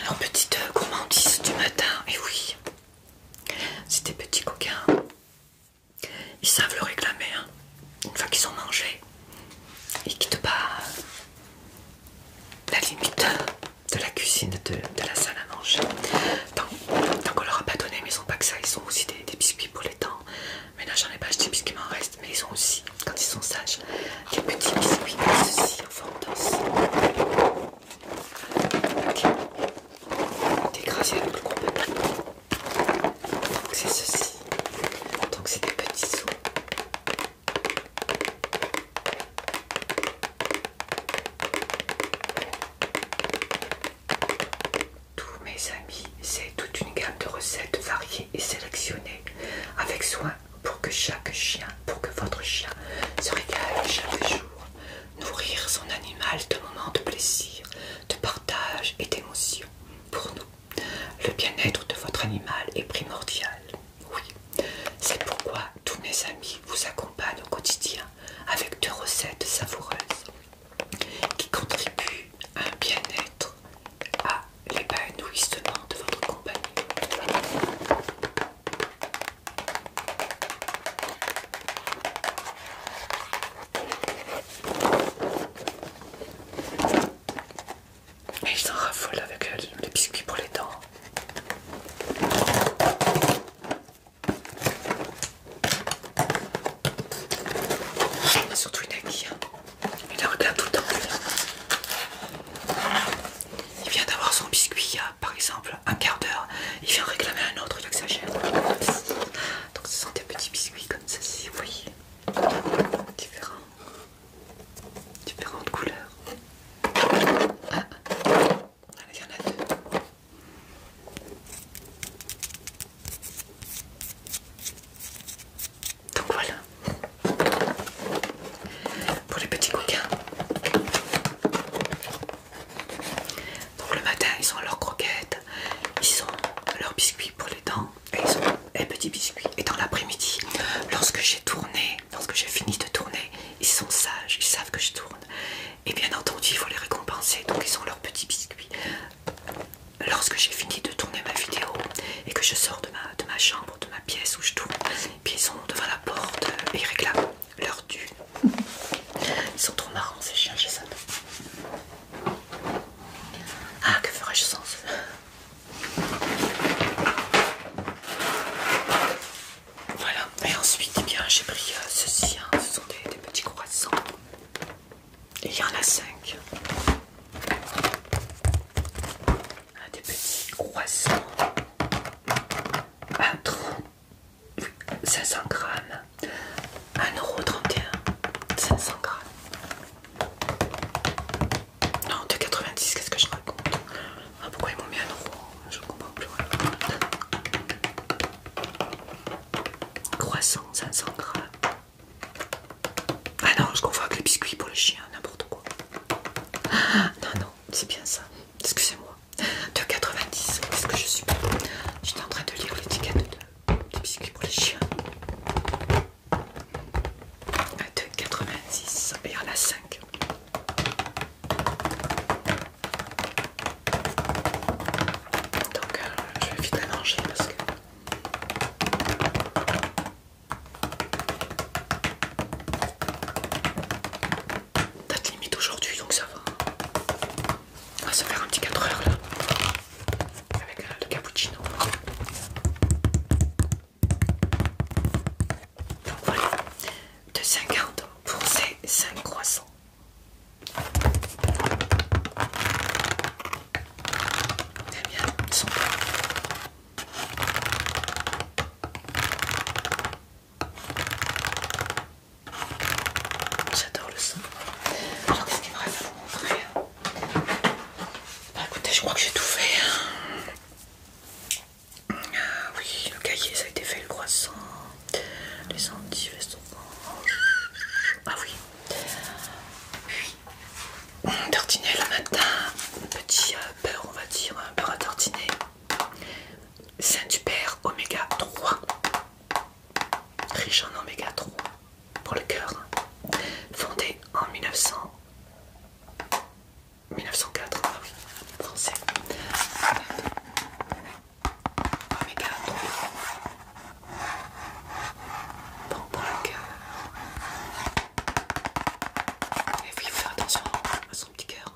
Alors, petite gourmandise du matin, et eh oui, c'est des petits coquins. Ils savent le réclamer, hein. une fois qu'ils ont mangé, ils quittent pas la limite de la cuisine, de, la salle à manger. donc on leur a pas donné, mais ils sont pas que ça, ils sont aussi des, biscuits pour les temps. Mais là, j'en ai pas acheté puisqu'il m'en reste mais ils ont aussi, quand ils sont sages, des petits biscuits comme ceci en forme d'os. Okay. avec le gros papier. Donc c'est ceci. Donc c'est des petits sous. Tous mes amis, c'est toute une gamme de recettes variées et sélectionner avec soin pour que chaque chien, pour que votre chien se régale chaque jour. Nourrir son animal de moments de plaisir, de partage et d'émotion. Pour nous, le bien-être de votre animal est primordial. Oui, c'est pourquoi tous mes amis vous accompagnent au quotidien avec deux recettes savoureuses qui contribuent à un bien-être à l'épanouissement de votre compagnie. Et ils s'en raffole avec euh, les biscuits pour les dents. a surtout une aiguille. Hein. Il la regarde tout le temps. Il vient d'avoir son biscuit il y a par exemple un quart d'heure. Il vient réclamer un autre, il que chère. Donc ce sont des petits biscuits comme ceci, vous voyez. Différents. Différentes couleurs. Ah. Allez, ah, il y en a deux. Donc voilà. Pour les petits coquins. Donc le matin, ils ont leurs croquettes, ils ont leurs biscuits pour les dents et ils petits biscuits. Et dans l'après-midi, lorsque j'ai tourné, lorsque j'ai fini de tourner, ils sont sages, ils savent que je tourne. Et bien entendu, il faut les récompenser, donc ils ont leurs petits biscuits. Lorsque j'ai fini de tourner ma vidéo et que je sors de ma, de ma chambre, de ma pièce où je tourne, puis ils sont devant la porte euh, et ils réclament leur dû. Ils sont trop marrants ces chiens ça. Ah que ferais-je sans Voilà. Et ensuite, eh bien, j'ai pris euh, ceci. Hein. Ce sont des, petits croissants. Et il y en a 5 des petits croissants un trou 500 grammes, 1,31€, 500 grammes. Non, 2,90, qu'est-ce que je raconte ah, Pourquoi ils m'ont mis 1€, je comprends plus. Croissant, 500 grammes. Ah non, je confonds avec les biscuits pour les chiens, n'importe quoi. Ah, non, non, c'est bien ça. Excusez-moi. 2,90. Qu'est-ce que je suis J'étais en train de lire l'étiquette de, biscuits pour les chiens. 2,90, ah, Et il y en a 5. Donc, euh, je vais vite manger parce que. Date limite aujourd'hui, donc ça va. On va se faire un petit 4 heures là. Avec euh, le cappuccino. Donc voilà, 2,50 pour ces 5 croissants. Très bien, ils sont J'adore le son. Alors qu'est-ce qu'il me reste à vous montrer Bah écoutez, je crois que j'ai tout fait. Hein. Ah oui, le cahier, ça a été fait, le croissant, les anti Ah oui. Tortinelle le matin, petit euh, beurre, on va dire, un beurre à tortiner. Saint-Hubert Oméga 3, riche en Oméga 3 pour le cœur, hein. fondé en 1900, 1904, français. Oméga 3, pour le cœur. Et puis il faut attention à son petit cœur.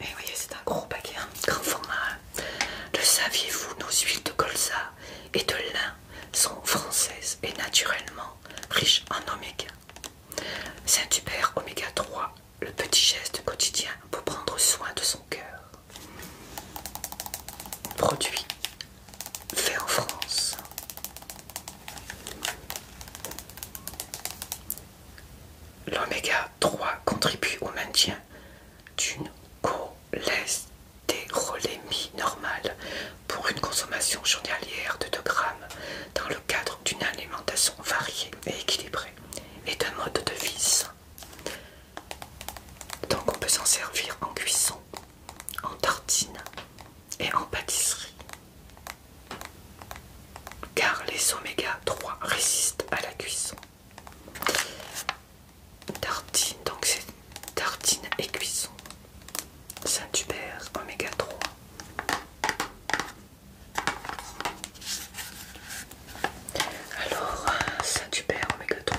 Et voyez, c'est un gros paquet, un grand format. Le saviez-vous, nos huiles de colza et de lin sont françaises et naturellement riches en oméga. Saint-Hubert Oméga 3, le petit geste quotidien pour prendre soin de son cœur. Produit fait en France. L'oméga 3 contribue au maintien d'une cholestérolémie normale pour une consommation journalière de 2 grammes dans le cadre d'une alimentation variée et équilibrée et d'un mode de vie sain. Donc on peut s'en servir en cuisson, en tartine et en pâtisserie car les oméga 3 résistent à la cuisson. Tartine, donc c'est tartine et cuisson. Saint-Hubert, oméga 3. Alors, Saint-Hubert, oméga 3,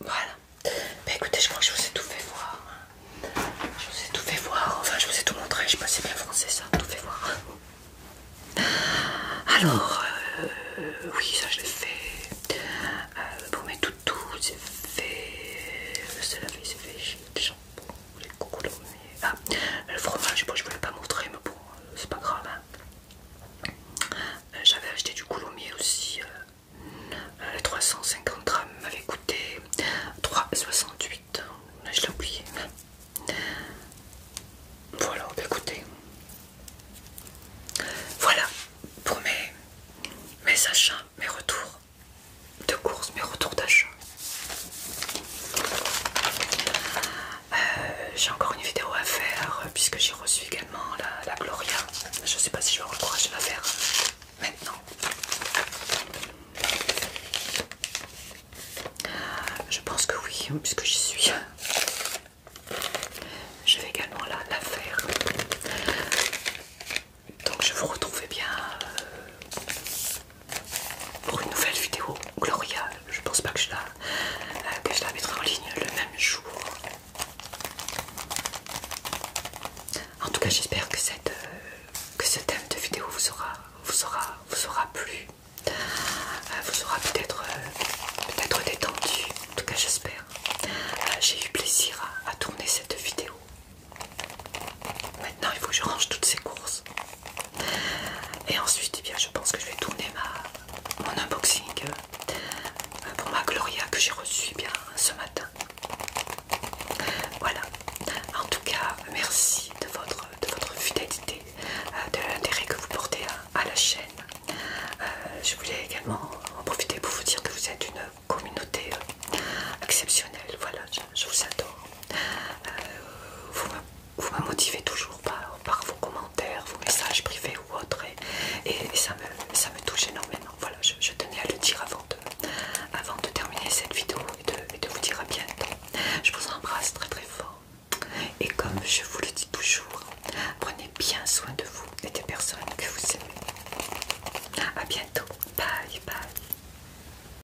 Voilà. Mais ben, écoutez, je crois que je vous ai tout fait voir. Je vous ai tout fait voir. Enfin, je vous ai tout montré. Je sais pas c'est bien français ça. Tout fait voir. Alors, euh, oui, ça je l'ai fait. Euh, pour mes toutous, c'est fait. Le cela fait, c'est fait. J'ai ah, le fromage, je voulais pas montrer, mais bon, euh, c'est pas grave. Hein. Euh, j'avais acheté du coulommier aussi. 350 euh, grammes m'avait coûté 3,68. Je l'ai oublié. Voilà, bah, écoutez. Voilà pour mes achats, mes retours de course mais retour d'achat. Euh, j'ai encore une vidéo à faire euh, puisque j'ai reçu également la, Gloria. Je sais pas si je vais avoir la faire euh, maintenant. Je pense que oui, hein, puisque j'y suis. Je vais également la, faire. Donc je vous retrouve eh bien pour une nouvelle vidéo Gloria. Je pense pas que je la, euh, que je la mettrai en ligne le même jour. En tout cas, j'espère que, euh, que ce thème de vidéo vous aura, vous vous aura plu, euh, vous aura peut-être peut-être détendu. En tout cas, j'espère. J'ai eu plaisir à tourner cette vidéo. Maintenant, il faut que je range toutes ces courses. Et ensuite, eh bien, je pense que je vais tourner ma, mon unboxing euh, pour ma Gloria que j'ai reçue eh bien, ce matin. Voilà. En tout cas, merci de votre, votre fidélité, euh, de l'intérêt que vous portez à, la chaîne. Euh, je voulais également en profiter pour vous dire que vous êtes une communauté exceptionnelle. Voilà, je vous adore. Euh, vous me motivez toujours par, vos commentaires, vos messages privés ou autres, et, ça, me, touche énormément. Voilà, je, tenais à le dire avant de, terminer cette vidéo et de, et de vous dire à bientôt. Je vous embrasse très très fort. Et comme je vous le dis toujours, prenez bien soin de vous et des personnes que vous aimez. A bientôt. Bye bye.